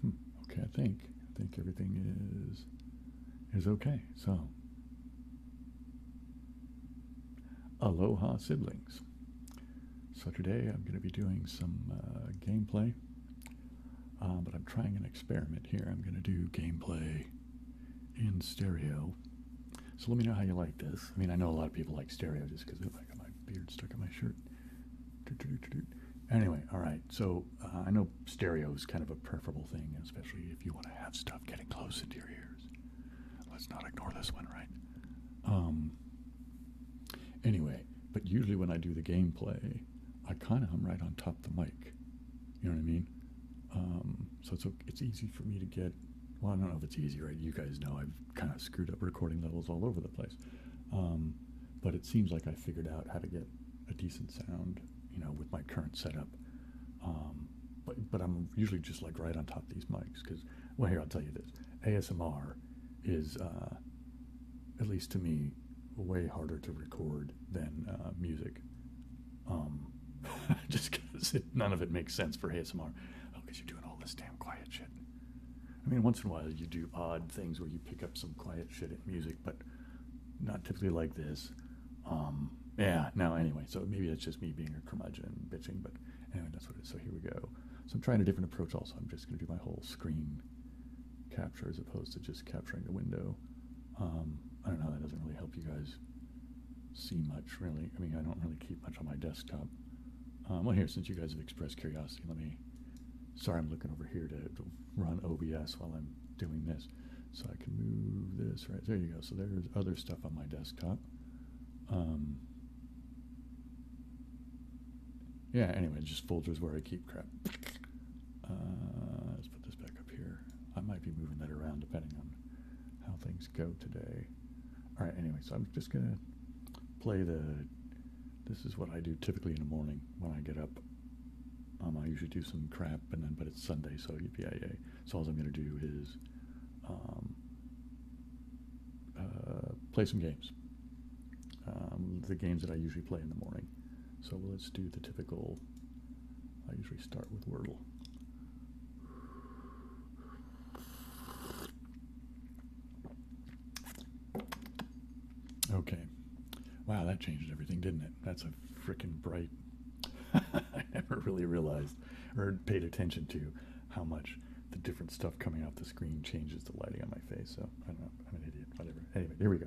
Hmm, okay, I think I think everything is is okay. So, aloha siblings. So today I'm going to be doing some uh, gameplay uh, but I'm trying an experiment here. I'm going to do gameplay in stereo. So let me know how you like this. I mean, I know a lot of people like stereo just because, I got my beard stuck in my shirt. Anyway, all right. So uh, I know stereo is kind of a preferable thing, especially if you want to have stuff getting close into your ears. Let's not ignore this one, right? Um, anyway, but usually when I do the gameplay, I kind of am right on top of the mic. You know what I mean? Um, so it's it's easy for me to get. Well, I don't know if it's easy, right? You guys know I've kind of screwed up recording levels all over the place, um, but it seems like I figured out how to get a decent sound, you know, with my current setup. Um, but but I'm usually just like right on top of these mics because well, here I'll tell you this: ASMR is uh, at least to me way harder to record than uh, music. Um, just because none of it makes sense for ASMR. Oh, because you're doing all this damn quiet shit. I mean, once in a while you do odd things where you pick up some quiet shit at music, but not typically like this. Um, yeah, no, anyway, so maybe that's just me being a curmudgeon and bitching, but anyway, that's what it is. So here we go. So I'm trying a different approach also. I'm just going to do my whole screen capture as opposed to just capturing the window. Um, I don't know, that doesn't really help you guys see much, really. I mean, I don't really keep much on my desktop. Um, well, here, since you guys have expressed curiosity, let me. Sorry, I'm looking over here to, run OBS while I'm doing this. So I can move this right. There you go. So there's other stuff on my desktop. Um, yeah, anyway, just folders where I keep crap. Uh, let's put this back up here. I might be moving that around depending on how things go today. All right, anyway, so I'm just going to play the. This is what I do typically in the morning when I get up. Um, I usually do some crap, and then but it's Sunday, so yippee So all I'm going to do is um, uh, play some games. Um, the games that I usually play in the morning. So let's do the typical, I usually start with Wordle. Okay. Wow, that changed everything, didn't it? That's a freaking bright. I never really realized or paid attention to how much the different stuff coming off the screen changes the lighting on my face. So I don't know. I'm an idiot. Whatever. Anyway, here we go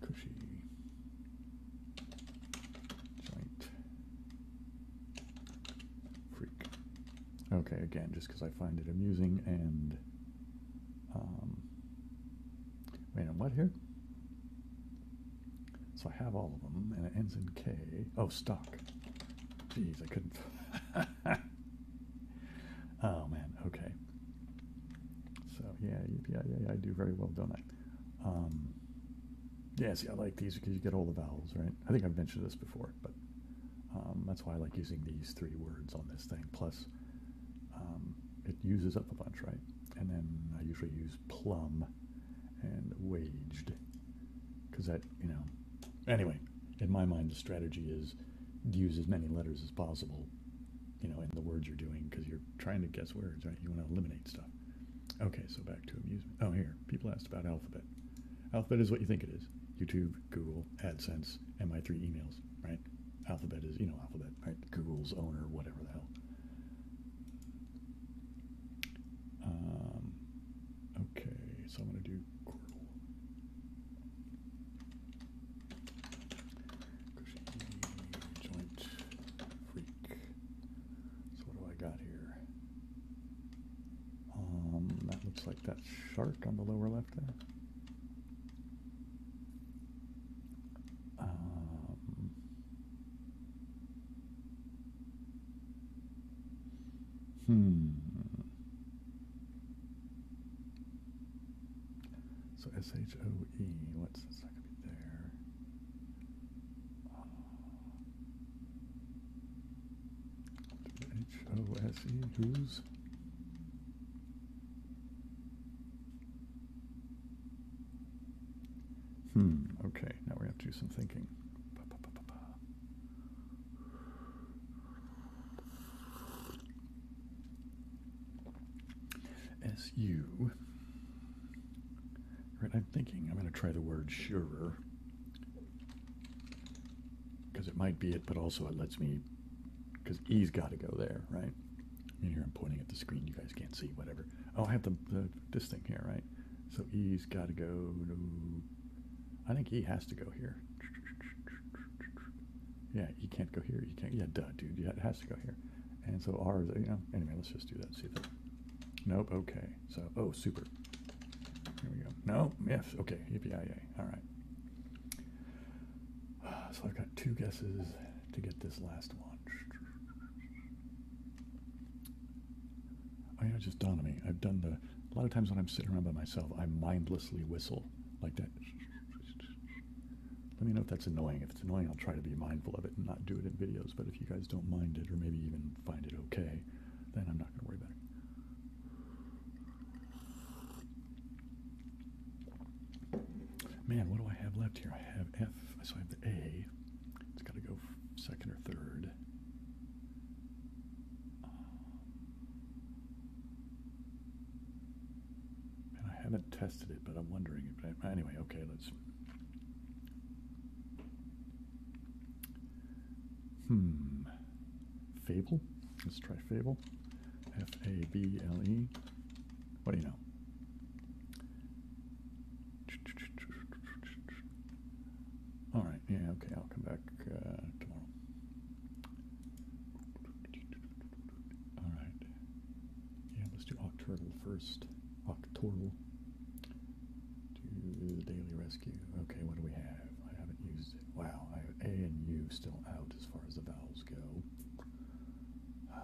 cushy joint freak. Okay, again, just because I find it amusing and. Um, wait, on what here? So I have all of them, and it ends in K. Oh, stock. Jeez, I couldn't. oh man, okay. So yeah, yeah, yeah, I do very well, don't I? Um, yeah, see, I like these because you get all the vowels, right? I think I've mentioned this before, but um, that's why I like using these three words on this thing. Plus, um, it uses up a bunch, right? And then I usually use plum and waged because that, you know. Anyway, in my mind, the strategy is to use as many letters as possible you know, in the words you're doing because you're trying to guess words, right? You want to eliminate stuff. Okay, so back to amusement. Oh, here. People asked about Alphabet. Alphabet is what you think it is YouTube, Google, AdSense, and my three emails, right? Alphabet is, you know, Alphabet, right? Google's owner, whatever the hell. Um, okay, so I'm going to do joint freak. So what do I got here? Um, that looks like that shark on the lower left there. Um, hmm. So S H O E, what's that not gonna be there. H O S E, who's? Hmm, okay, now we have to do some thinking. SU. Right, I'm thinking I'm going to try the word surer because it might be it, but also it lets me because E's got to go there, right? And here I'm pointing at the screen. You guys can't see, whatever. Oh, I have the, this thing here, right? So E's got to go. To, I think E has to go here. Yeah, he can't go here. He can't. Yeah, duh, dude. Yeah, it has to go here. And so R is, you know, anyway, let's just do that. See that. Nope, okay. So, oh, super. Here we go. No, yes, okay, yippee-yay, right. Ah, so I've got two guesses to get this last one. Oh, I just don't know me. I've done the, a lot of times when I'm sitting around by myself, I mindlessly whistle like that. Let me know if that's annoying. If it's annoying, I'll try to be mindful of it and not do it in videos. But if you guys don't mind it, or maybe even find it okay, then I'm not going to worry about it. Man, what do I have left here? I have F, so I have the A. It's got to go second or third. I haven't tested it, but I'm wondering anyway, okay, let's Hmm. Fable? Let's try Fable. F A B L E. What do you know? All right. Yeah. Okay. I'll come back uh, tomorrow. All right. Yeah, let's do octurnal first. Octurnal. to the Daily Rescue. Okay, what do we have? I haven't used it. Wow, I have A and U still out as far as the vowels go. I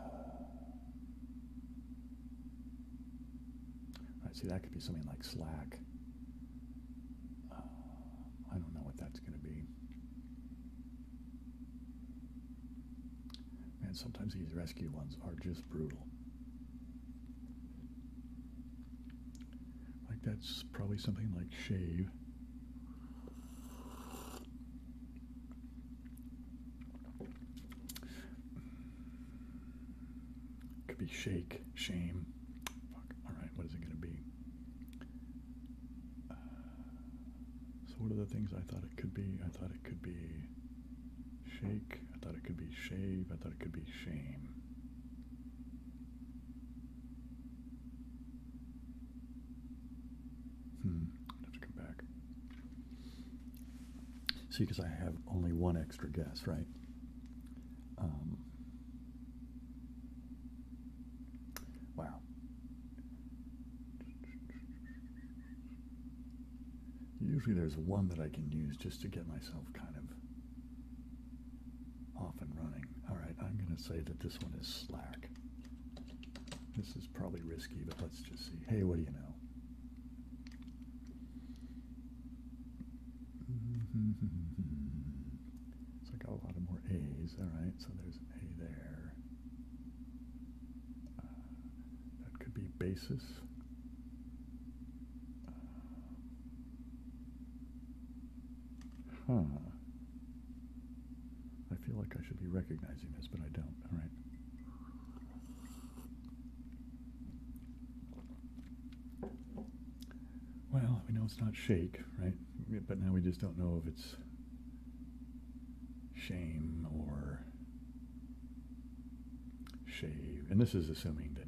right, see that could be something like slack. Uh, I don't know what that's going to be. And sometimes these rescue ones are just brutal. Like that's probably something like shave. Could be shake, shame. Fuck. All right, what is it going to be? Uh, so what are the things I thought it could be? I thought it could be shake. I thought it could be shave. I thought it could be shame. Hmm. have to come back. See, because I have only one extra guess, right? Um, wow. Usually there's one that I can use just to get myself kind of off and running. All right, I'm going to say that this one is slack. This is probably risky, but let's just see. Hey, what do you know? So I got a lot of more A's. All right, so there's an A there that could be basis. huh. I feel like I should be recognizing this, but I don't. All right. Well, we know it's not shake, right? But now we just don't know if it's shame or shave. And this is assuming that.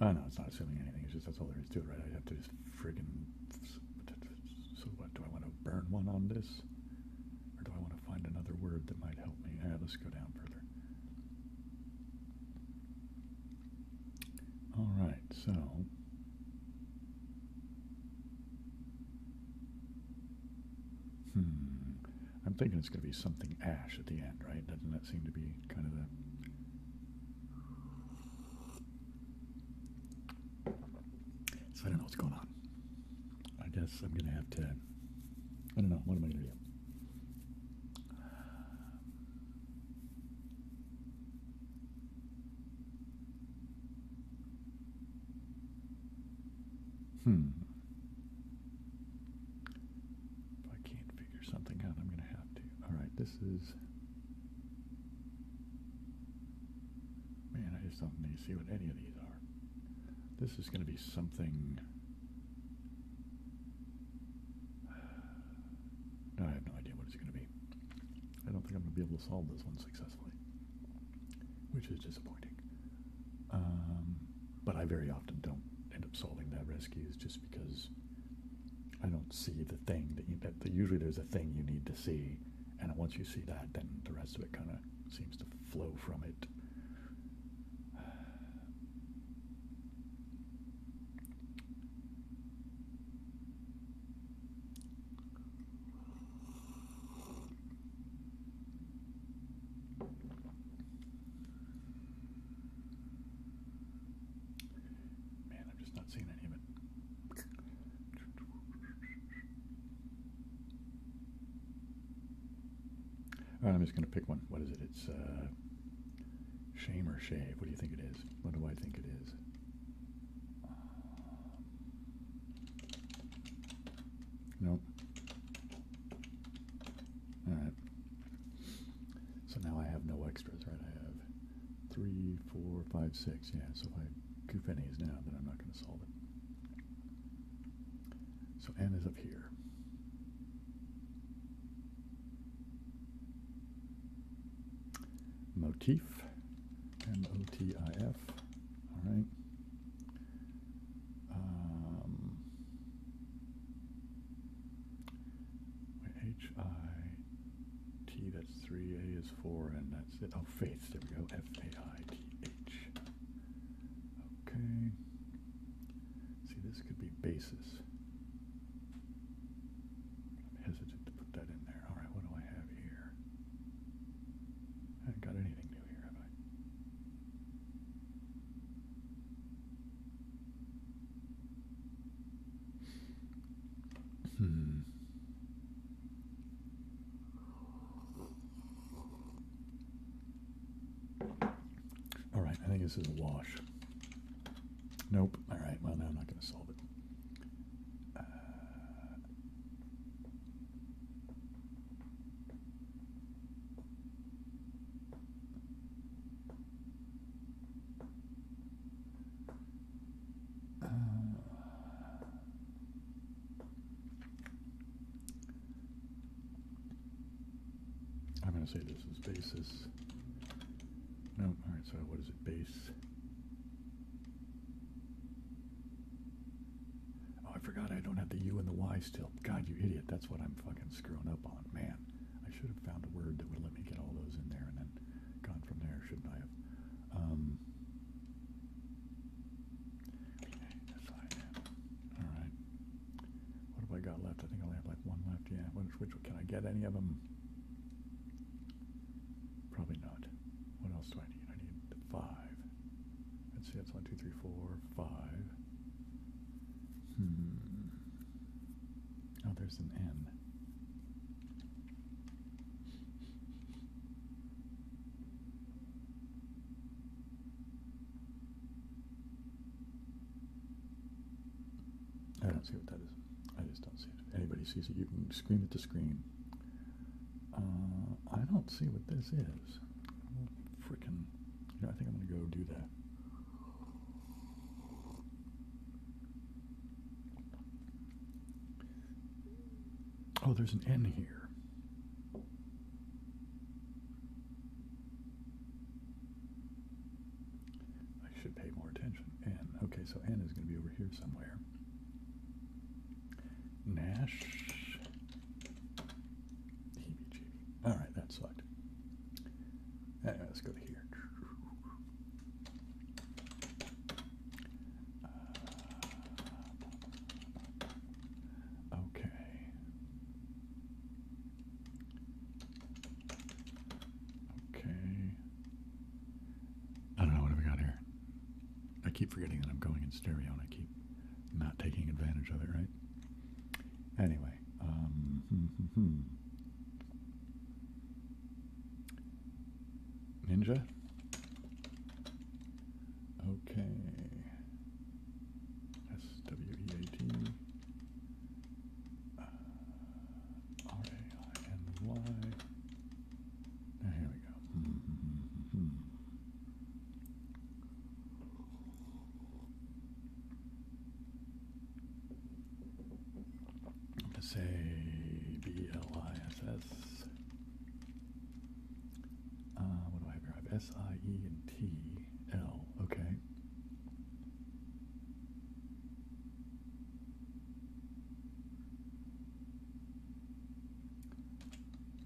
I oh, no, it's not assuming anything. It's just that's all there is to it, right? I have to just friggin'. So, what? Do I want to burn one on this? Or do I want to find another word that might help me? All right, let's go down further. All right, so Hmm. I'm thinking it's going to be something ash at the end, right? Doesn't that seem to be kind of the I don't know what's going on. I guess I'm going to have to. I don't know. What am I going to do? Hmm. If I can't figure something out, I'm going to have to. All right, this is. Man, I just don't need to see what any of these are. This is going to be something. I have no idea what it's going to be. I don't think I'm going to be able to solve this one successfully which is disappointing. Um, but I very often don't end up solving that rescues just because I don't see the thing that usually there's a thing you need to see, and once you see that, then the rest of it kind of seems to flow from it. Man, I'm just not seeing any of it. All right, I'm just going to pick one. What is it? It's uh, Shame or Shave. What do you think it is? What do I think it is? Nope. All right. So now I have no extras, right? I have three, four, five, six. Yeah, so if I goof any is now, then I'm not going to solve it. So n is up here. Motif, M-O-T-I-F. All right. Um, H I T. That's three. A is four, and that's it. Oh, faith. There we go. F A I T H. Okay. See, this could be basis. I'm hesitant to put that in there. All right. What do I have here? I haven't got anything new here, have I? Hmm. All right, I think this is a wash. Nope. All right. Well, now I'm not going to solve it. Uh, I'm going to say this is basis. No, all right, so what is it, base? Oh, I forgot I don't have the U and the Y still. God, you idiot. That's what I'm fucking screwing up on. Man, I should have found a word that would let me get all those in there and then gone from there, shouldn't I have? Um, that's fine. All right. What have I got left? I think I only have like one left. Yeah. Which, which can I get any of them? Probably not. What else do I need? I need five. Let's see, that's one, two, three, four, five. Hmm. Oh, there's an N. I don't see what that is. I just don't see it. anybody sees it, you can scream at the screen. Uh, I don't see what this is. Freaking, I think I'm gonna go do that. Oh, there's an N here. I should pay more attention. N. Okay, so N is going to be over here somewhere. Nash. All right, that sucked. let's go here. Uh, okay. Okay. I don't know what we got here. I keep forgetting that I'm going in stereo and I keep not taking advantage of it, right? Anyway, um, hmm, hmm, hmm, Ninja? Okay. S W E A T uh, here we go i say B-L-I-S-S. Uh, what do I have here? I have S-I-E and T-L. Okay.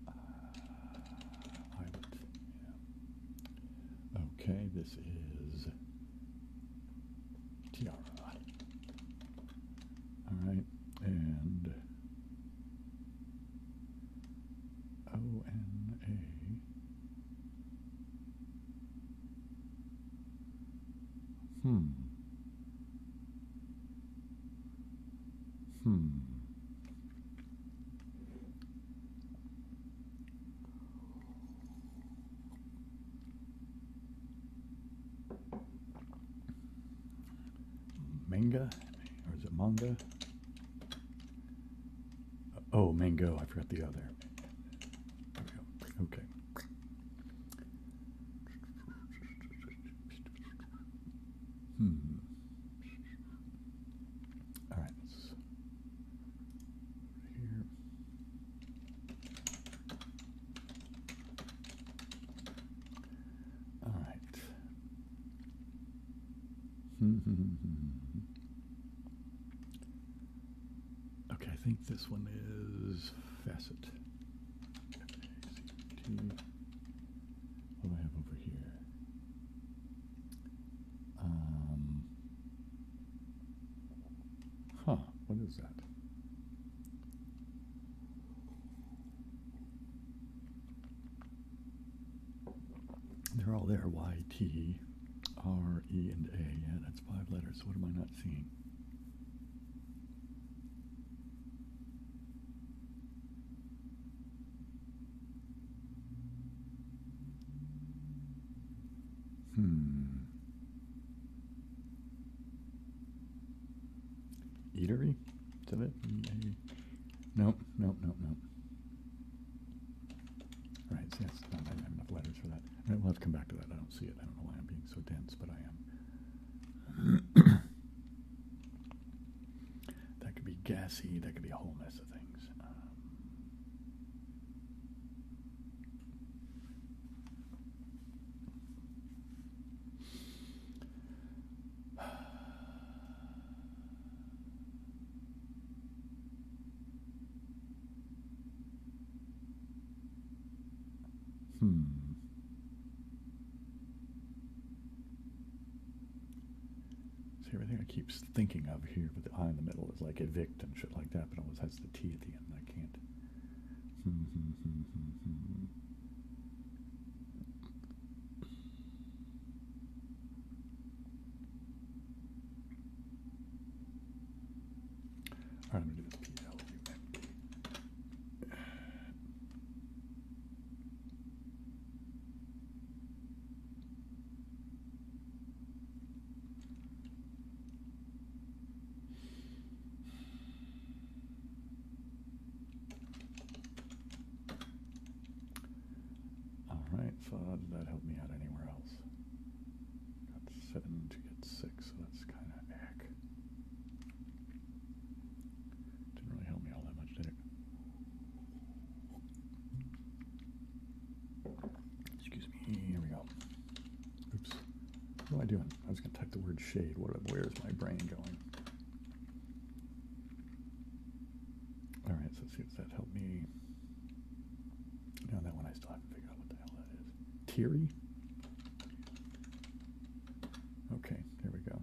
Uh, Island. Okay, this is Tiara. All right, and O N A. Hmm. Hmm. Manga? Or is it manga? Uh, oh, mango. I forgot the other. Okay. Hmm. All right. Here. All right. okay, I think this one is facet. What do I have over here? Um, huh, what is that? They're all there. Y, T, R, E, and A. Yeah, that's five letters. What am I not seeing? Hmm. Eatery? Is that it? Nope, nope, nope, nope. All right, so that's not, have enough letters for that. All right, we'll have to come back to that. I don't see it. I don't know why I'm being so dense, but I am. that could be gassy, that could be a whole mess of things. Um, hmm. See, everything I keep thinking of here with the I in the middle is like evict and shit like that, but it always has the T at the end. I can't. right, I'm going to do this PLUMP. All right, did that help me out anywhere else. Got seven to get six, so that's kind of heck. Didn't really help me all that much, did it? Excuse me. Here we go. Oops. What am I doing? I was going to type the word shade. What? Where's my brain going? All right. So see if that helped me. Now that one I still haven't figured out what the hell that is. Teary. Okay. There we go.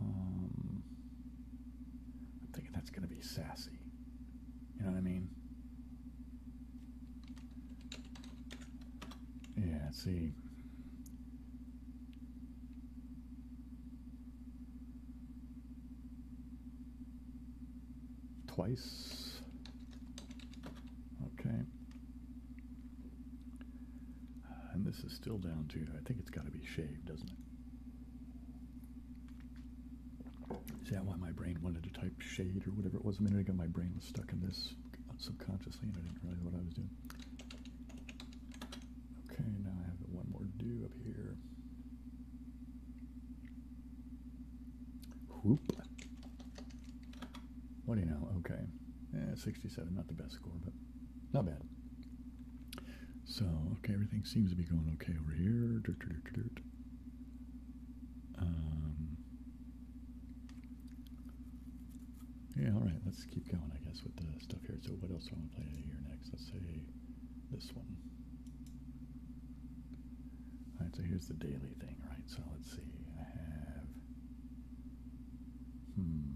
Um, I'm thinking that's going to be sassy. You know what I mean? Yeah, see. Twice. Okay. Uh, and this is still down to, I think it's got to be shaved, doesn't it? Is that why my brain wanted to type shade or whatever it was a minute ago? My brain was stuck in this subconsciously and I didn't realize what I was doing. Okay, now I have one more to do up here. Whoop. What do you know? Okay. Eh, 67, not the best score, but not bad. So, okay, everything seems to be going okay over here. Um, yeah, all right, let's keep going, I guess, with the stuff here. So what else do I want to play here next? Let's say this one. All right, so here's the daily thing, right? So let's see. I have... Hmm.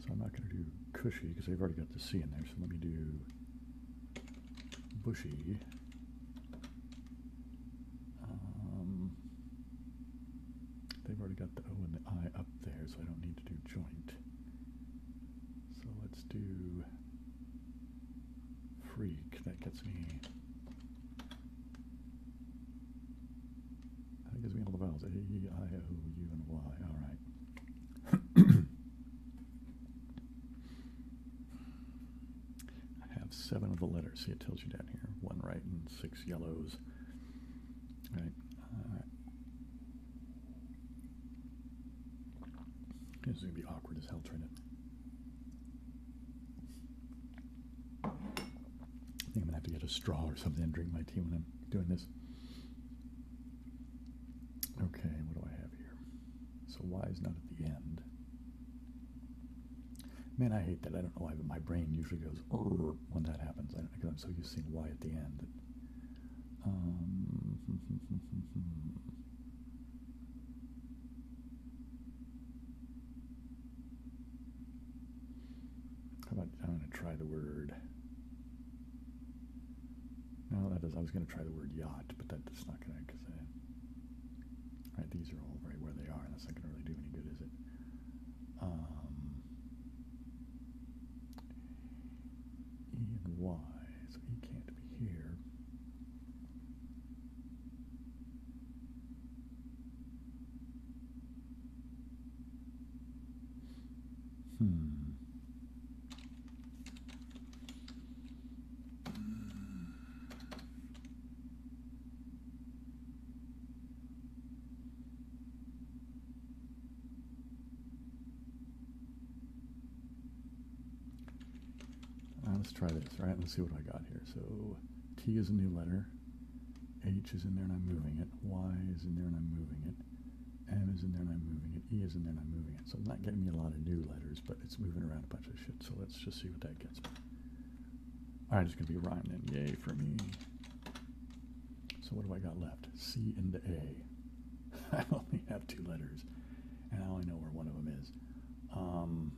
So I'm not going to do cushy because they have already got the C in there. So let me do bushy. Um, they've already got the O and the I up there, so I don't need to do joint. So let's do freak. That gets me that gives me all the vowels. A, I, O, U, and Y. All right. I have seven of the letters. See, it tells you down here. One right and six yellows. All right. This is going to be awkward as hell trying to I think I'm gonna have to get a straw or something and drink my tea when I'm doing this. Okay, what do I have here? So Y is not at the end. Man, I hate that. I don't know why, but my brain usually goes when that happens. I don't because I'm so used to seeing why at the end. Um, How about I'm going to try the word. No, that is. I was going to try the word yacht, but that's not going to because right. These are all right where they are. and That's not going to really do any good, is it? Um, Y, so E can't be here. Hmm. Uh, let's try this, right? Let's see what I got here. So T is a new letter. H is in there and I'm moving it. Y is in there and I'm moving it. M is in there and I'm moving it. E is in there and I'm moving it. So I'm not getting me a lot of new letters, but it's moving around a bunch of shit. So let's just see what that gets me. All right, it's going to be rhyming. then. Yay for me. So what do I got left? C and A. I only have two letters, and I only know where one of them is. Um,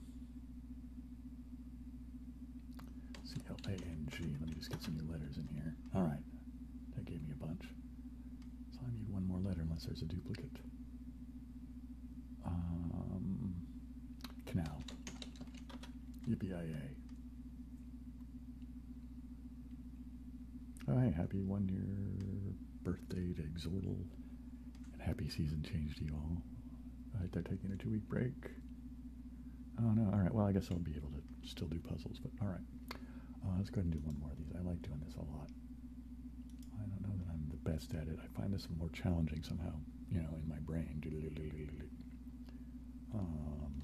C-L-A-N-G. Let me just get some new letters in here. All right. That gave me a bunch. So I need one more letter unless there's a duplicate. Um, canal. Yippee-I-A. happy one-year birthday to Exortal. And happy season change to you all. all right, they're taking a two-week break. Oh, no. All right. Well, I guess I'll be able to still do puzzles, but all right. Uh, let's go and do one more of these. I like doing this a lot. I don't know that I'm the best at it. I find this more challenging somehow, you know, in my brain. Um,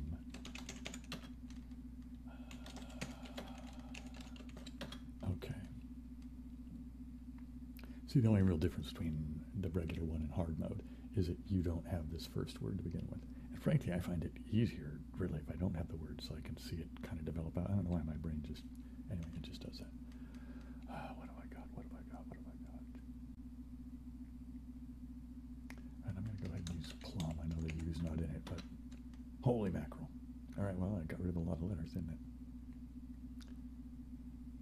okay. See, the only real difference between the regular one and hard mode is that you don't have this first word to begin with. And frankly, I find it easier, really, if I don't have the word so I can see it kind of develop out. I don't know why my brain just, anyway, it just does that. Uh, what have I got? What have I got? What have I got? And I'm going to go ahead and use plum. I know the U's not in it, but holy mackerel. All right, well, I got rid of a lot of letters, didn't it?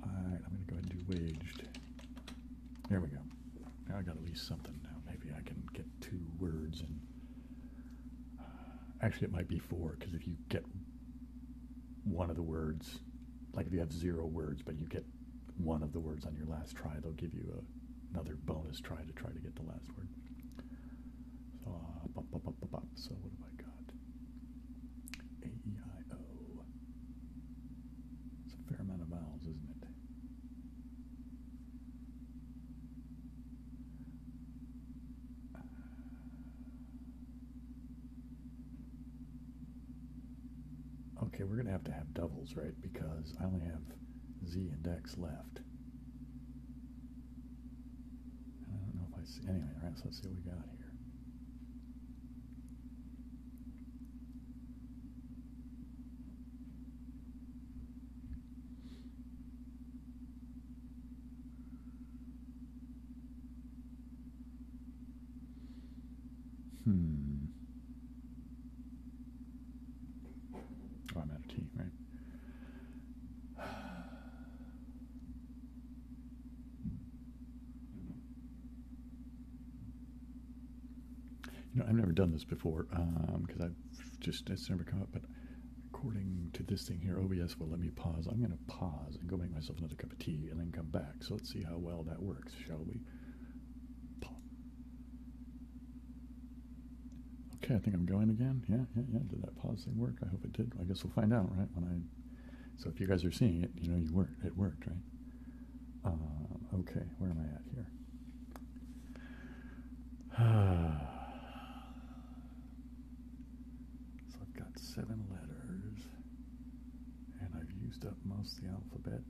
All right, I'm going to go ahead and do waged. There we go. Now I got at least something now. Maybe I can get two words and uh, actually it might be four because if you get one of the words, like if you have zero words but you get one of the words on your last try, they'll give you another bonus try to try to get the last word. So, so what have I got? A E I O. It's a fair amount of vowels, isn't it? Okay, we're going to have to have doubles, right? Because I only have Z and X left. I don't know if I see... Anyway, all right, so let's see what we got here. Hmm. Oh, I'm out of tea, right? You know, I've never done this before because um, I've just, it's never come up, but according to this thing here, OBS Well, let me pause. I'm going to pause and go make myself another cup of tea and then come back. So let's see how well that works, shall we? Okay, I think I'm going again. Yeah, yeah, yeah. Did that pause thing work? I hope it did. I guess we'll find out, right? When I, so if you guys are seeing it, you know you worked. It worked, right? Uh, okay, where am I at here? so I've got seven letters, and I've used up most of the alphabet.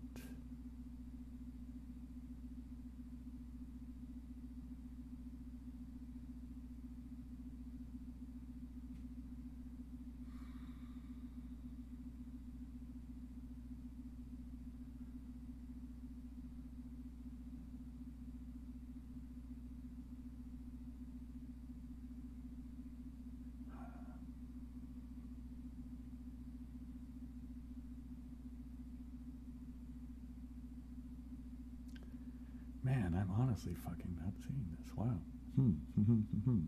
Man, I'm honestly fucking not seeing this. Wow. Hmm. Hmm.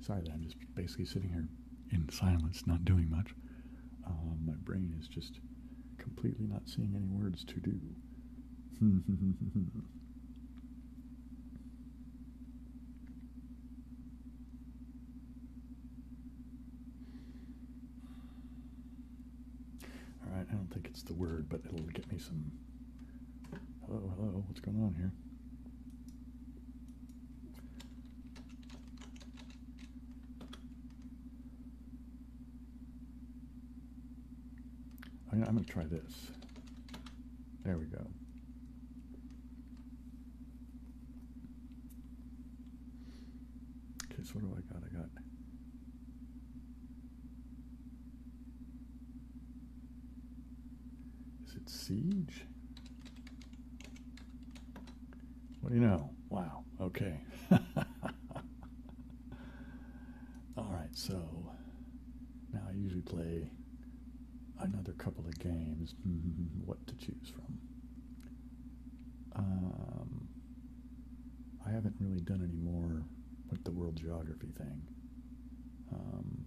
Sorry that I'm just basically sitting here in silence, not doing much. Um, my brain is just completely not seeing any words to do. All right, I don't think it's the word, but it'll get me some. Hello, hello, what's going on here? I'm going to try this. There we go. Okay, so what do I got? I got Is it siege? What do you know? Wow. Okay. All right, so now I usually play another couple of games. Mm-hmm, what to choose from? Um, I haven't really done any more with the world geography thing. Um,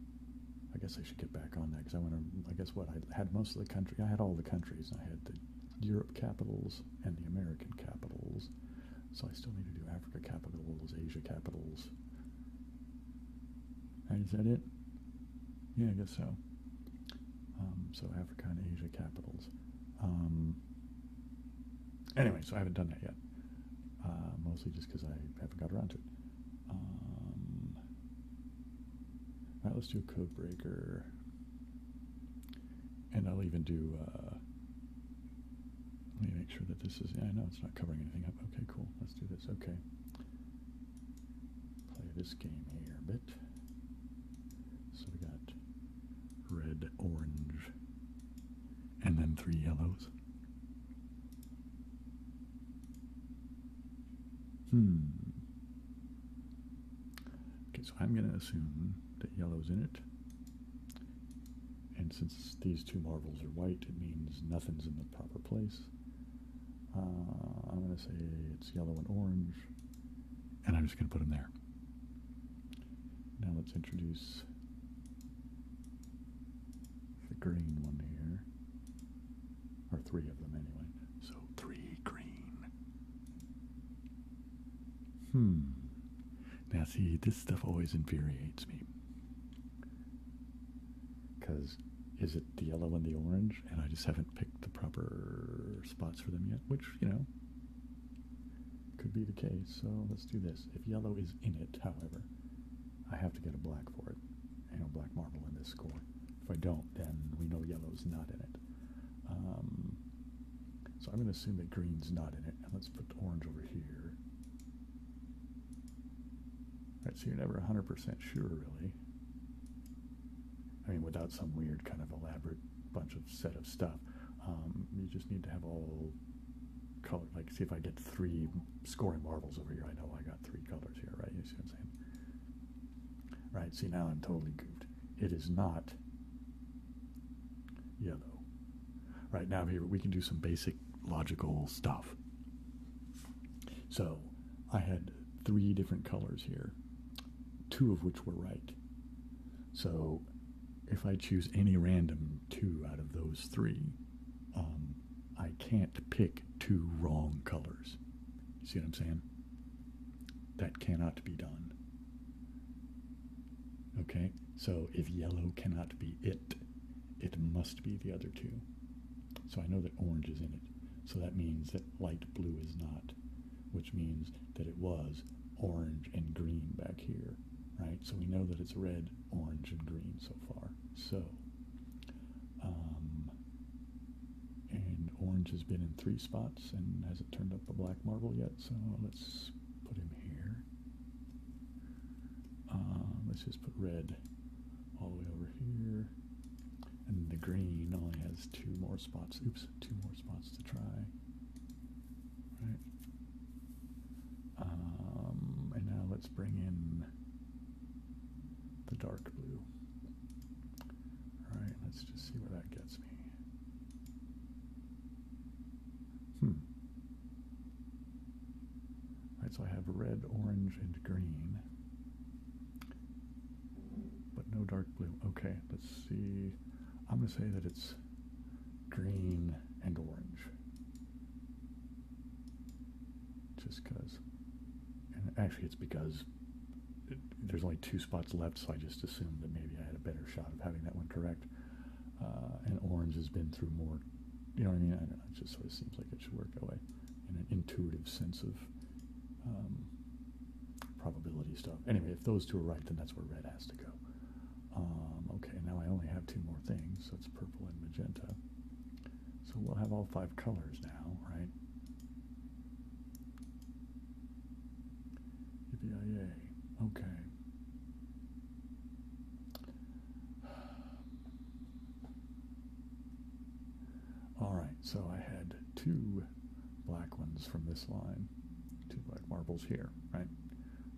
I guess I should get back on that because I want to. I guess what I had most of the country. I had all the countries. I had the Europe capitals and the American capitals. So I still need to do Africa capitals, Asia capitals. Is that it? Yeah, I guess so. Um, so Africa and Asia capitals. Um, anyway, so I haven't done that yet. Uh, mostly just because I haven't got around to it. Um, now let's do code breaker, And I'll even do, uh, let me make sure that this is, I know it's not covering anything up. Okay, cool. Let's do this. Okay. Play this game here a bit. So we got red, orange, and then three yellows. Hmm. Okay, so I'm going to assume that yellow's in it. And since these two marbles are white, it means nothing's in the proper place. Uh, I'm going to say it's yellow and orange. And I'm just going to put them there. Now let's introduce the green one here. Or three of them, anyway. So three green. Hmm. Now, this stuff always infuriates me. Because is it the yellow and the orange? And I just haven't picked the proper spots for them yet, which, you know, could be the case. So let's do this. If yellow is in it, however, I have to get a black for it. I know black marble in this score. If I don't, then we know yellow's not in it. Um, so I'm going to assume that green's not in it. And let's put orange over here. Right. so you're never 100% sure, really. I mean, without some weird kind of elaborate bunch of set of stuff. Um, you just need to have all color. Like, see if I get three scoring marbles over here. I know I got three colors here, right? You see what I'm saying? Right, see now I'm totally goofed. It is not yellow. Right now here we can do some basic logical stuff. So I had three different colors here, two of which were right. So if I choose any random two out of those three, um, I can't pick two wrong colors. See what I'm saying? That cannot be done. Okay, so if yellow cannot be it, it must be the other two. So I know that orange is in it. So that means that light blue is not, which means that it was orange and green back here, right? So we know that it's red, orange, and green so far. So um, and orange has been in three spots and hasn't turned up a black marble yet, so let's put him here. Uh, let's just put red all the way over here. And the green only has two more spots. Oops, two more spots to try. All right. Um, and now let's bring in the dark blue. All right, let's just see where that gets me. Hmm. All right, so I have red, orange, and green, but no dark blue. Okay, let's see. I'm going to say that it's green and orange just because. And actually, it's because there's only two spots left, so I just assumed that maybe I had a better shot of having that one correct. Uh, and orange has been through more, you know what I mean? I don't know, it just sort of seems like it should work that way in an intuitive sense of um, probability stuff. Anyway, if those two are right, then that's where red has to go. Um, okay, now I only have two more things, so it's purple and magenta. So we'll have all five colors now, right? yippee okay. All right, so I had two black ones from this line, two black marbles here, right?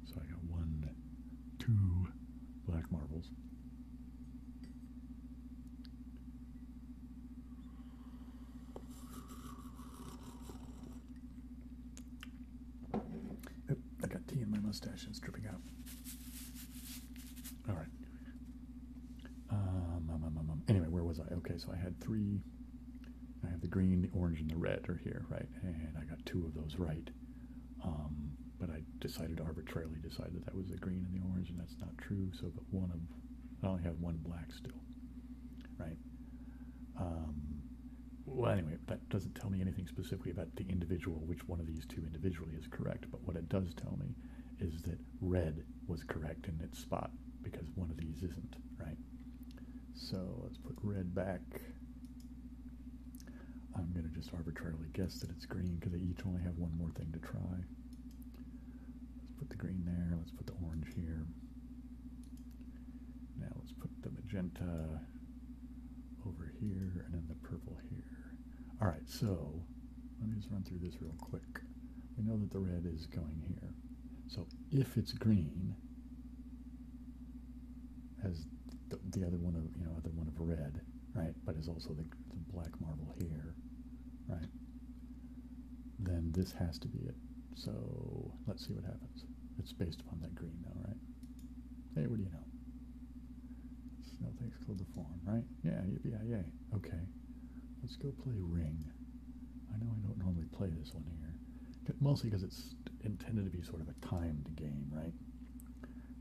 So I got one, two black marbles. I got tea in my mustache and it's dripping out. All right. Um um, um, um, um, anyway, where was I? Okay, so I had three. I have the green, the orange, and the red are here, right? And I got two of those right. Um, but I decided arbitrarily decided that, that was the green and the orange, and it's not true. So but one of I only have one black still, right? Um, well, anyway, that doesn't tell me anything specifically about the individual, which one of these two individually is correct. But what it does tell me is that red was correct in its spot because one of these isn't, right? So let's put red back. I'm going to just arbitrarily guess that it's green because they each only have one more thing to try. Let's put the green there. Let's put the orange here. Now let's put the magenta over here and then the purple here. All right, so let me just run through this real quick. We know that the red is going here. So if it's green, as the, other one of, you know, other one of red, right, but is also the black marble here, right? then this has to be it. So let's see what happens. It's based upon that green though, right? Hey, what do you know? Snow things form, right? Yeah, yeah, yeah. Okay. Let's go play Ring. I know I don't normally play this one here. Mostly because it's intended to be sort of a timed game, right?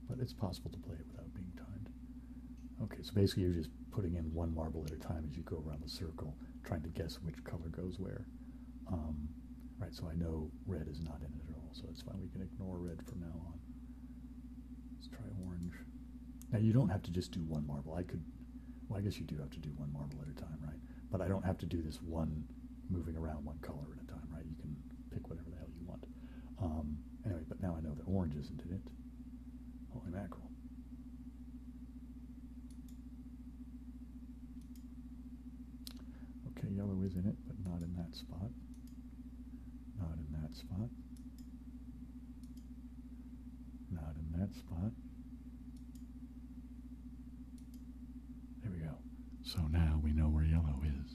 But it's possible to play it without being timed. Okay, so basically you're just putting in one marble at a time as you go around the circle, trying to guess which color goes where. Um, right, so I know red is not in it at all, so it's fine. We can ignore red from now on. Let's try orange. Now you don't have to just do one marble. I could, well, I guess you do have to do one marble at a time, right? But I don't have to do this one moving around one color at a time, right? You can pick whatever the hell you want. Um, anyway, but now I know that orange isn't in it. Holy mackerel. Okay, yellow is in it, but not in that spot. Not in that spot. Not in that spot. There we go. So now we know where yellow is.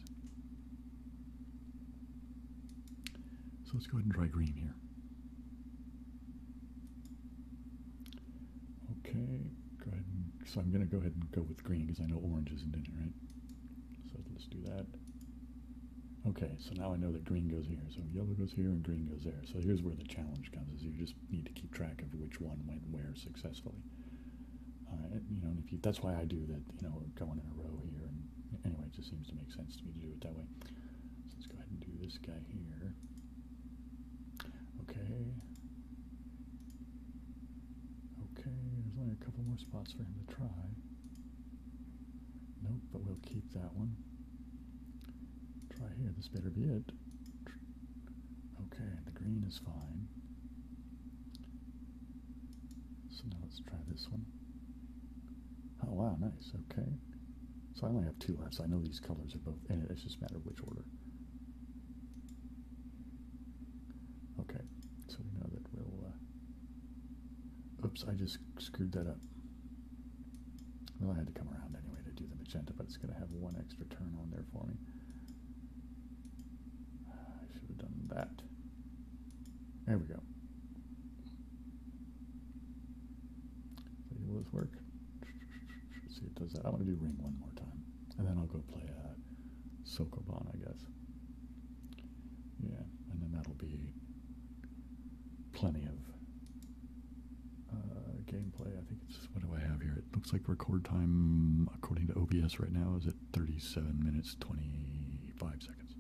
So let's go ahead and try green here. Okay, go ahead and, so I'm going to go ahead and go with green because I know orange isn't in it, right? So let's do that. Okay, so now I know that green goes here. So yellow goes here and green goes there. So here's where the challenge comes is you just need to keep track of which one went where successfully. Uh, you know, if you, that's why I do that, you know, going in a row here. And anyway, it just seems to make sense to me to do it that way. Let's go ahead and do this guy here. Okay. Okay, there's only a couple more spots for him to try. Nope, but we'll keep that one. Try here, this better be it. Okay, the green is fine. So now let's try this one. Oh wow, nice, okay. So I only have two left, so I know these colors are both in it. It's just a matter of which order. Okay, so we know that we'll... Uh, oops, I just screwed that up. Well, I had to come around anyway to do the magenta, but it's going to have one extra turn on there for me. I should have done that. There we go. Maybe will this work? see if it does that. I want to do ring one more time. And then I'll go play uh, Sokoban, I guess. Yeah, and then that'll be plenty of uh, gameplay. I think it's, what do I have here? It looks like record time, according to OBS right now, is at 37 minutes, 25 seconds.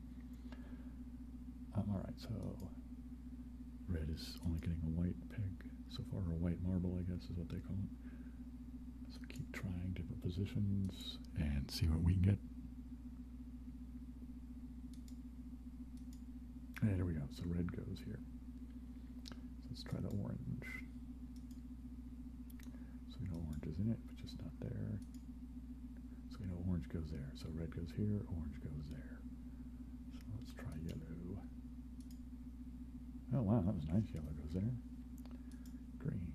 Um, Alright, so red is only getting a white peg so far, or a white marble, I guess is what they call it. So keep trying different positions and see what we can get. And there we go, so red goes here. let's try the orange. So we know orange is in it, but just not there. So we know orange goes there. So red goes here, orange goes there. So let's try yellow. Oh wow, that was nice. Yellow goes there. Green.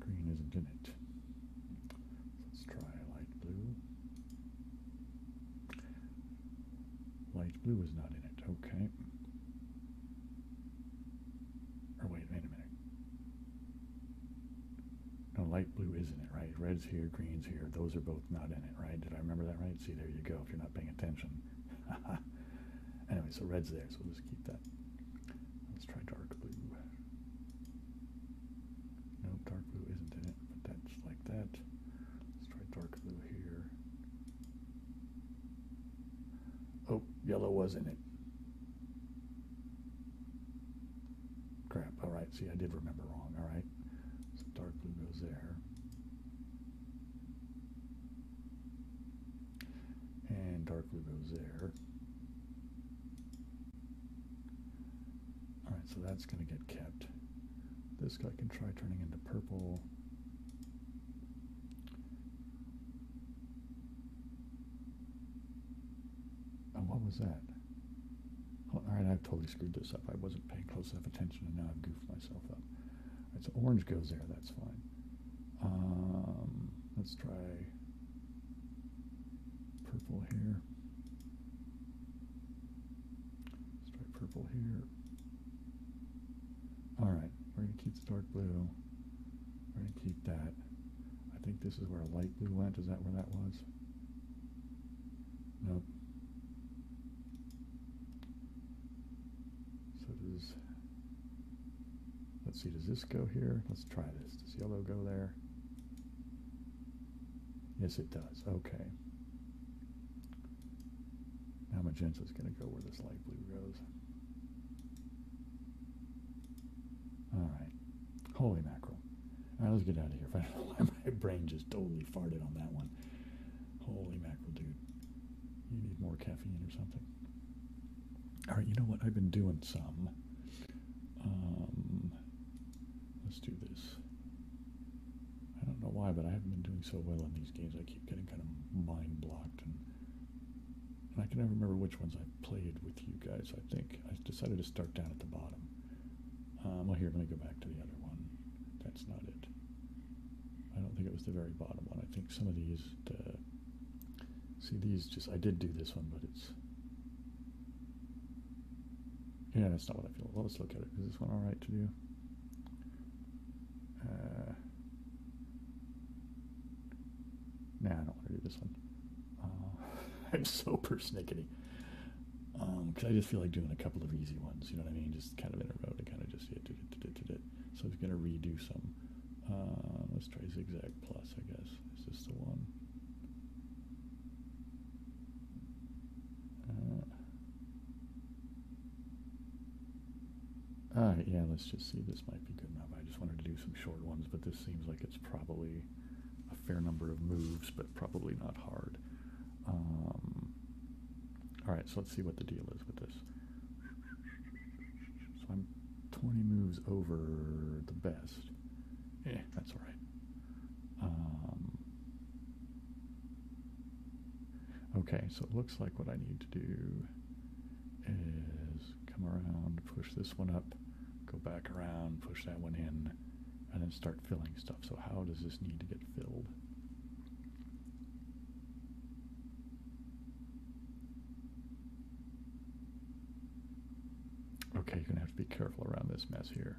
Green isn't in it. let's try light blue. Light blue is not in it. Okay. Or wait a minute. No, light blue isn't it, right? Red's here, green's here. Those are both not in it, right? Did I remember that right? See, there you go, if you're not paying attention. anyway, so red's there, so we'll just keep that. Let's try dark blue. No, dark blue isn't in it, but that's like that. Let's try dark blue here. Oh, yellow was in it. Crap. All right. See, I did remember wrong. All right. So dark blue goes there. And dark blue goes there. All right. So that's going to get kept. This guy can try turning into purple. Oh, what was that? all right, I've totally screwed this up. I wasn't paying close enough attention, and now I've goofed myself up. so orange goes there. That's fine. Um, let's try purple here. Let's try purple here. All right, we're going to keep the dark blue. We're going to keep that. I think this is where a light blue went. Is that where that was? Nope. So does, let's see, does this go here? Let's try this. Does yellow go there? Yes, it does. Okay. Now magenta is going to go where this light blue goes. All right. Holy mackerel. All right, let's get out of here. I don't know why my brain just totally farted on that one. Holy mackerel, dude. You need more caffeine or something. All right, you know what? I've been doing some. Um, let's do this. I don't know why, but I haven't been doing so well in these games. I keep getting kind of mind blocked, and I can never remember which ones I played with you guys. I think I decided to start down at the bottom well, um, oh, here, let me go back to the other one. That's not it. I don't think it was the very bottom one. I think some of these, uh, see these just, I did do this one, but it's, yeah, that's not what I feel. let's look at it. Is this one all right to do? Uh, nah, I don't want to do this one. Uh, I'm so persnickety. because um, I just feel like doing a couple of easy ones, you know what I mean? Just kind of in a row to kind of just, yeah, it, did it, it. So I was going to redo some. Uh, let's try zigzag plus, I guess. Is this the one? Uh, uh, yeah, let's just see. This might be good enough. I just wanted to do some short ones, but this seems like it's probably a fair number of moves, but probably not hard. Um, all right, so let's see what the deal is with this. So I'm 20 moves over the best. Yeah, that's all right. Um, okay, so it looks like what I need to do is come around, push this one up, go back around, push that one in, and then start filling stuff. So how does this need to get filled? Okay, you're gonna have to be careful around this mess here.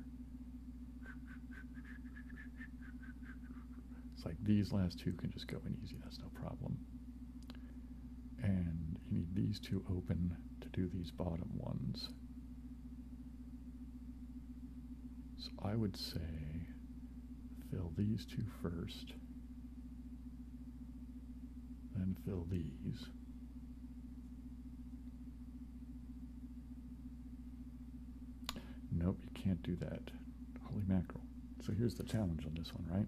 It's like these last two can just go in easy, that's no problem. And you need these two open to do these bottom ones. So I would say fill these two first, then fill these. Nope, you can't do that. Holy mackerel. So here's the challenge on this one, right?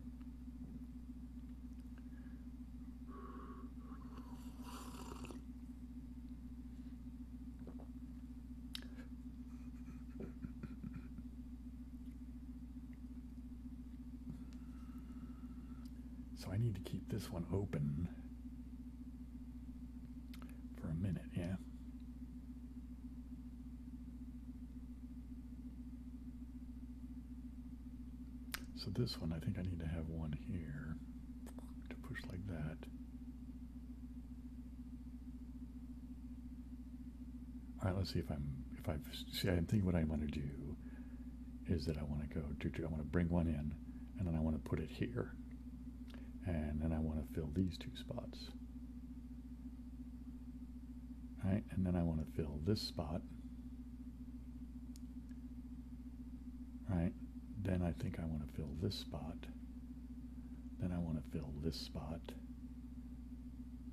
So I need to keep this one open for a minute, yeah? So this one, I think I need to have one here to push like that. All right, let's see if I'm if I've see I'm thinking what I want to do is that I want to go do I want to bring one in and then I want to put it here and then I want to fill these two spots. All right, and then I want to fill this spot right then I think I want to fill this spot then I want to fill this spot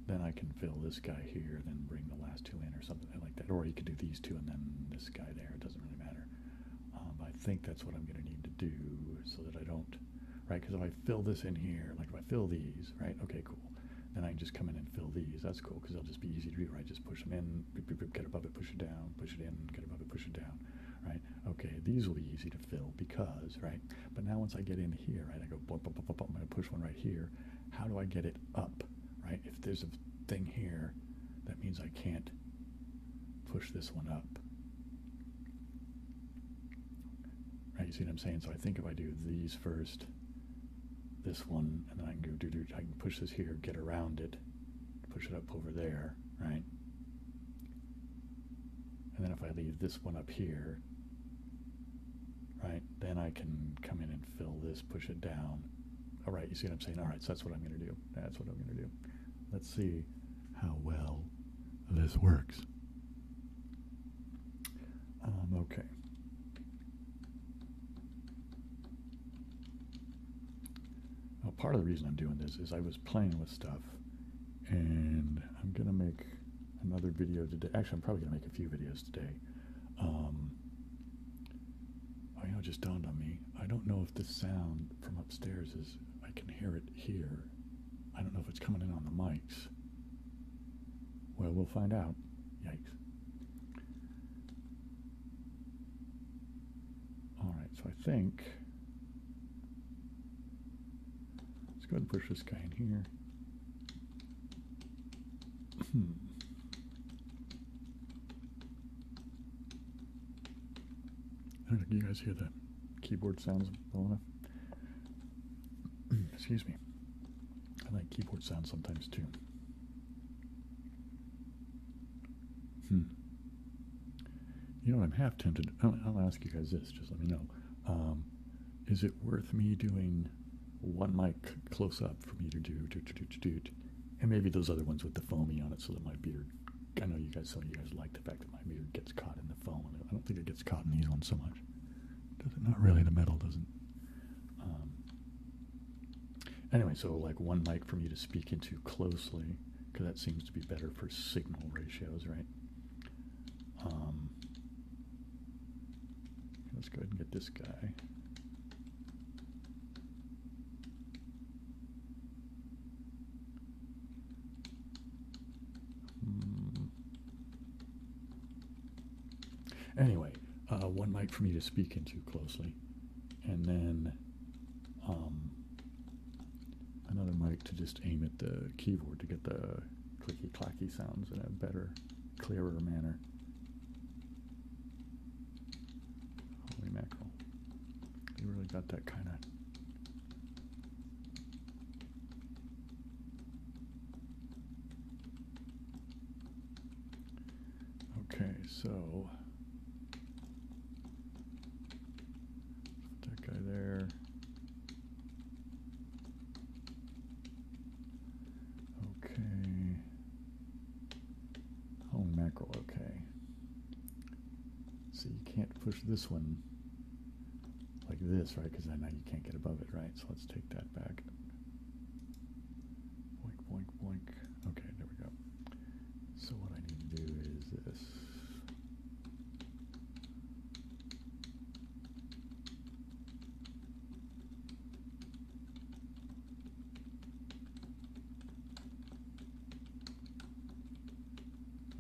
then I can fill this guy here then bring the last two in or something like that or you could do these two and then this guy there it doesn't really matter um, I think that's what I'm going to need to do so that I don't right because if I fill this in here like if I fill these right okay cool then I can just come in and fill these that's cool because they'll just be easy to do right just push them in in, beep, get above it, push it down, push it in, get above it, push it down, right? Okay, these will be easy to fill because, right? But now once I get in here, right, I go, bump, bump, bump, bump, I'm going to push one right here. How do I get it up, right? If there's a thing here, that means I can't push this one up. Right, you see what I'm saying? So I think if I do these first, this one, and then I can do, do, do, I can push this here, get around it, push it up over there, right? And then if I leave this one up here, right, then I can come in and fill this, push it down. All right, you see what I'm saying? All right, so that's what I'm going to do. That's what I'm going to do. Let's see how well this works. Um, okay. Now, part of the reason I'm doing this is I was playing with stuff, and I'm going to make another video today. Actually, I'm probably going to make a few videos today. Um, you know, just dawned on me. I don't know if the sound from upstairs is, I can hear it here. I don't know if it's coming in on the mics. Well, we'll find out. Yikes. All right, so I think, let's go ahead and push this guy in here. Hmm. do you guys hear the keyboard sounds well enough. Excuse me. I like keyboard sounds sometimes too. Hmm. You know I'm half tempted. I'll, ask you guys this. Just let me know. Um, is it worth me doing one mic close up for me to do, and maybe those other ones with the foamy on it, so that my beard. I know you guys. Some of you guys like the fact that my beard gets caught in the foam. I don't think it gets caught in these ones so much. Does it? Not really. The metal doesn't. Um, Anyway, so like one mic for me to speak into closely, because that seems to be better for signal ratios, right? Um, let's go ahead and get this guy. Hmm. Anyway, uh, one mic for me to speak into closely, and then um, another mic to just aim at the keyboard to get the clicky clacky sounds in a better, clearer manner. Holy mackerel. You really got that kind of. Okay, so that guy there. Okay. Oh, mackerel, okay. So you can't push this one like this, right? Because I know you can't get above it, right? So let's take that back. Blink, blink, boink. Okay, there we go. So what I need to do is this.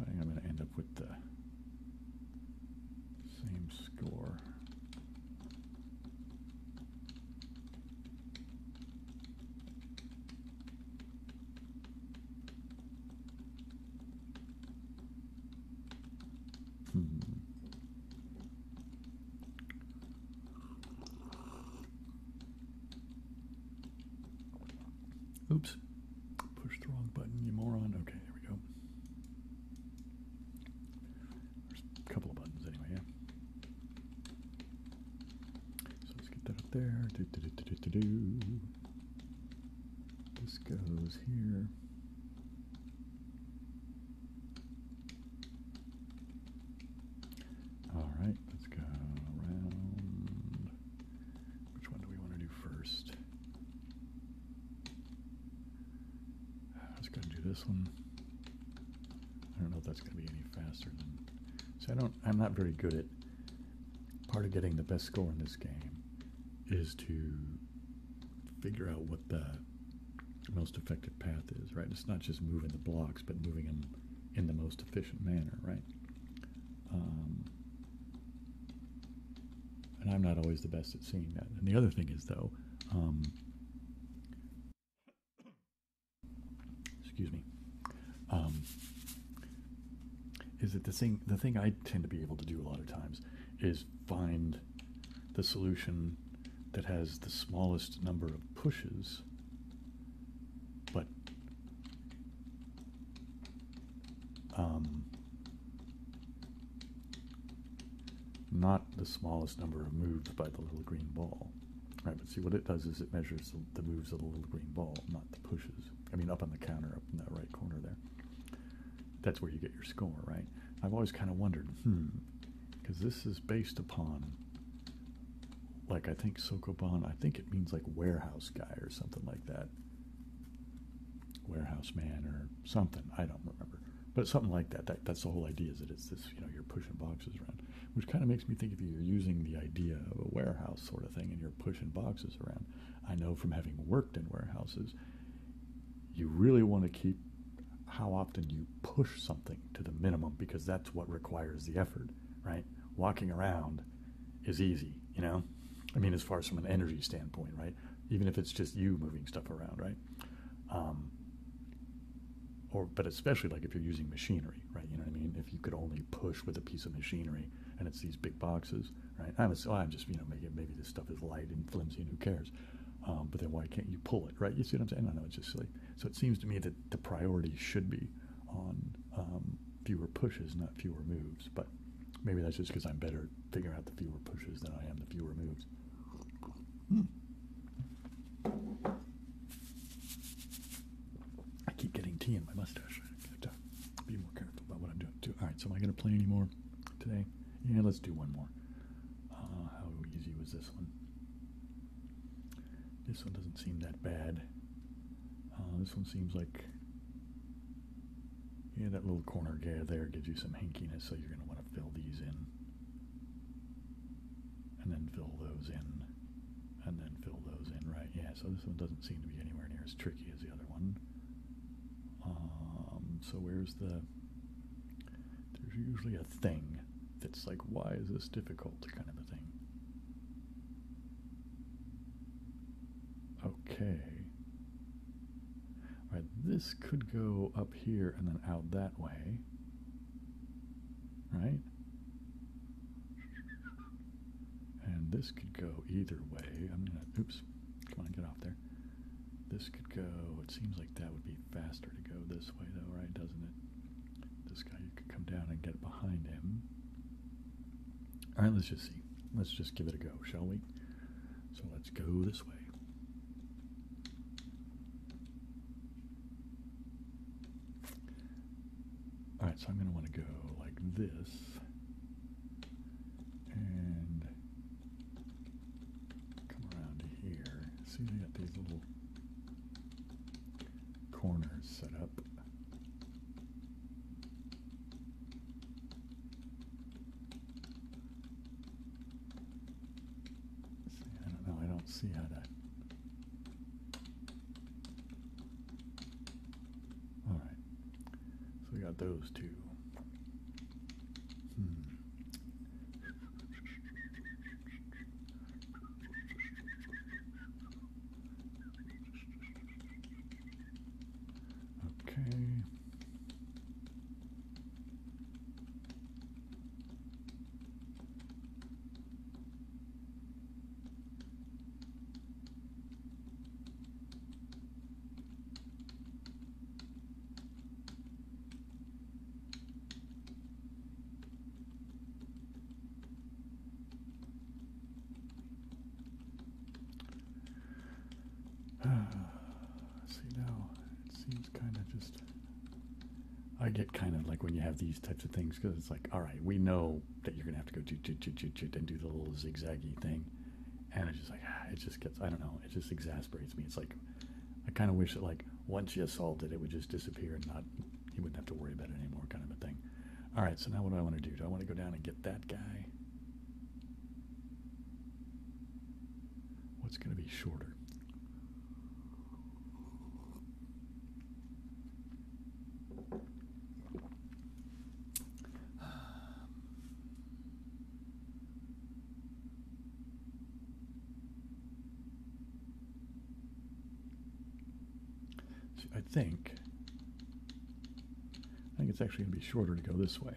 I think I'm going to end up with the same score. Hmm. Oops. Pushed the wrong button, you moron. Okay, there we go. There's a couple of buttons anyway, yeah. So let's get that up there. Do, do, do, do, do, do. This goes here. All right, let's go around. Which one do we want to do first? Let's go do this one. I don't know if that's going to be any faster than. So I don't. I'm not very good at. Part of getting the best score in this game is to figure out what the most effective path is. Right. It's not just moving the blocks, but moving them in the most efficient manner. Right. Um, and I'm not always the best at seeing that. And the other thing is though. Um, excuse me, um, is that the thing, the thing I tend to be able to do a lot of times is find the solution that has the smallest number of pushes, but um, not the smallest number of moves by the little green ball. Right, but see what it does is it measures the, the moves of the little green ball, not the pushes. I mean, up on the counter, up in that right corner there. That's where you get your score, right? I've always kind of wondered, hmm, because this is based upon, like, I think Sokoban, I think it means like warehouse guy or something like that. Warehouse man or something. I don't remember. But something like that. that that's the whole idea is that it's this, you know, you're pushing boxes around which kind of makes me think if you're using the idea of a warehouse sort of thing and you're pushing boxes around, I know from having worked in warehouses, you really want to keep how often you push something to the minimum because that's what requires the effort, right? Walking around is easy, you know? I mean, as far as from an energy standpoint, right? Even if it's just you moving stuff around, right? Um, or, but especially like if you're using machinery right? You know what I mean? If you could only push with a piece of machinery, and it's these big boxes, right? I'm, oh, just you know maybe this stuff is light and flimsy, and who cares? Um, but then why can't you pull it, right? You see what I'm saying? I know. It's just silly. So it seems to me that the priority should be on um, fewer pushes, not fewer moves. But maybe that's just because I'm better figuring out the fewer pushes than I am the fewer moves. Hmm. I keep getting tea in my mustache. I have to be more careful about what I'm doing too. All right, so am I going to play anymore today? Yeah, let's do one more. Uh, how easy was this one? This one doesn't seem that bad. Uh, this one seems like yeah, that little corner gap there gives you some hinkiness, so you're going to want to fill these in, and then fill those in and then fill those in, right? Yeah, so this one doesn't seem to be anywhere near as tricky as the other one. Um, so where's the... There's usually a thing that's like, why is this difficult kind of a thing. Okay. All right, this could go up here and then out that way. Right? And this could go either way. I'm gonna, oops, come on, get off there. This could go, it seems like that would be faster to go this way though, right, doesn't it? This guy, you could come down and get behind him. All right, let's just see. Let's just give it a go, shall we? So let's go this way. All right, so I'm going to want to go like this. And come around here. See, they got these little corners set up. See, I don't know. I don't see how to all right. So we got those two. Hmm. Okay. See now, it seems kind of just. I get kind of like when you have these types of things because it's like, all right, we know that you're gonna have to go and do the little zigzaggy thing, and it's just like ah, it just gets I don't know it just exasperates me. It's like I kind of wish that like once you assaulted it, it would just disappear and not you wouldn't have to worry about it anymore, kind of a thing. All right, so now what do I want to do? Do I want to go down and get that guy? What's going to be shorter? Um, I think I think it's actually going to be shorter to go this way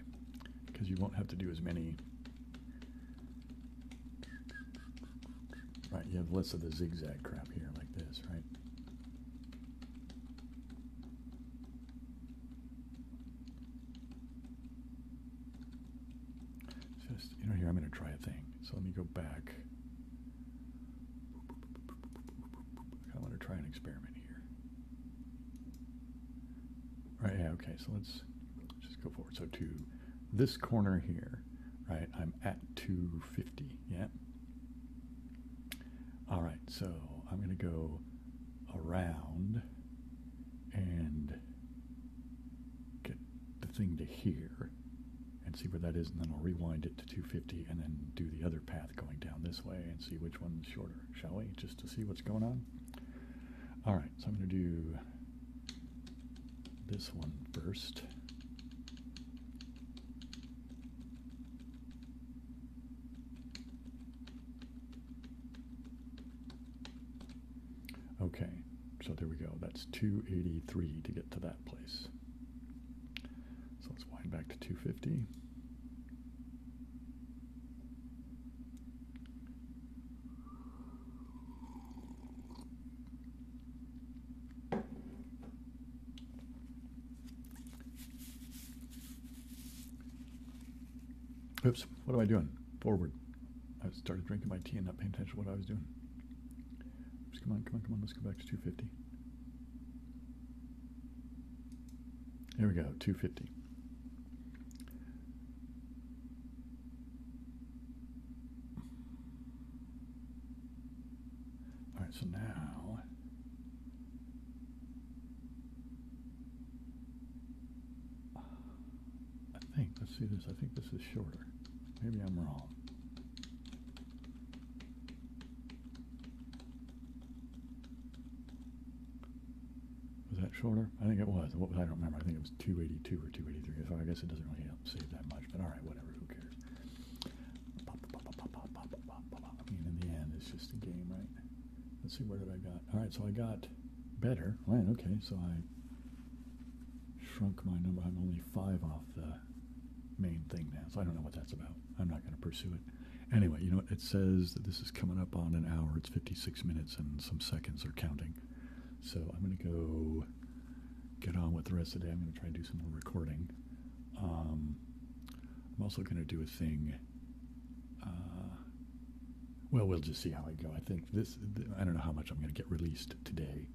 because you won't have to do as many right you have less of the zigzag crap here like this right just, you know, here, I'm going to try a thing. So let me go back. I want to try an experiment here. Right, yeah, okay, so let's just go forward. So to this corner here, right, I'm at 250, yeah? All right, so I'm going to go around and get the thing to here and see where that is, and then I'll rewind it to 250 and then do the other path going down this way and see which one's shorter, shall we? Just to see what's going on. All right, so I'm going to do this one first. Okay, so there we go. That's 283 to get to that place. So let's wind back to 250. Oops, what am I doing? Forward. I started drinking my tea and not paying attention to what I was doing. Oops, come on, come on, come on, let's go back to 250. There we go, 250. All right, so now I think, let's see this, I think this is shorter. Maybe I'm wrong. Was that shorter? I think it was. What was I don't remember. I think it was 282 or 283. So I guess it doesn't really save that much. But all right, whatever. Who cares? I mean, in the end, it's just a game, right? Let's see, where did I got? All right, so I got better. Right, okay, so I shrunk my number. I'm only five off the main thing now, so I don't know what that's about. I'm not going to pursue it. Anyway, you know, what? it says that this is coming up on an hour. It's 56 minutes and some seconds are counting. So I'm going to go get on with the rest of the day. I'm going to try and do some more recording. Um, I'm also going to do a thing. Uh, well, we'll just see how I go. I think this, I don't know how much I'm going to get released today.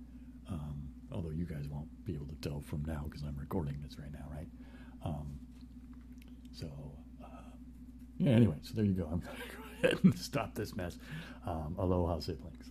Um, although you guys won't be able to tell from now because I'm recording this right now, right? Um, so, uh, yeah, anyway, so there you go. I'm going to go ahead and stop this mess. Um, aloha, siblings.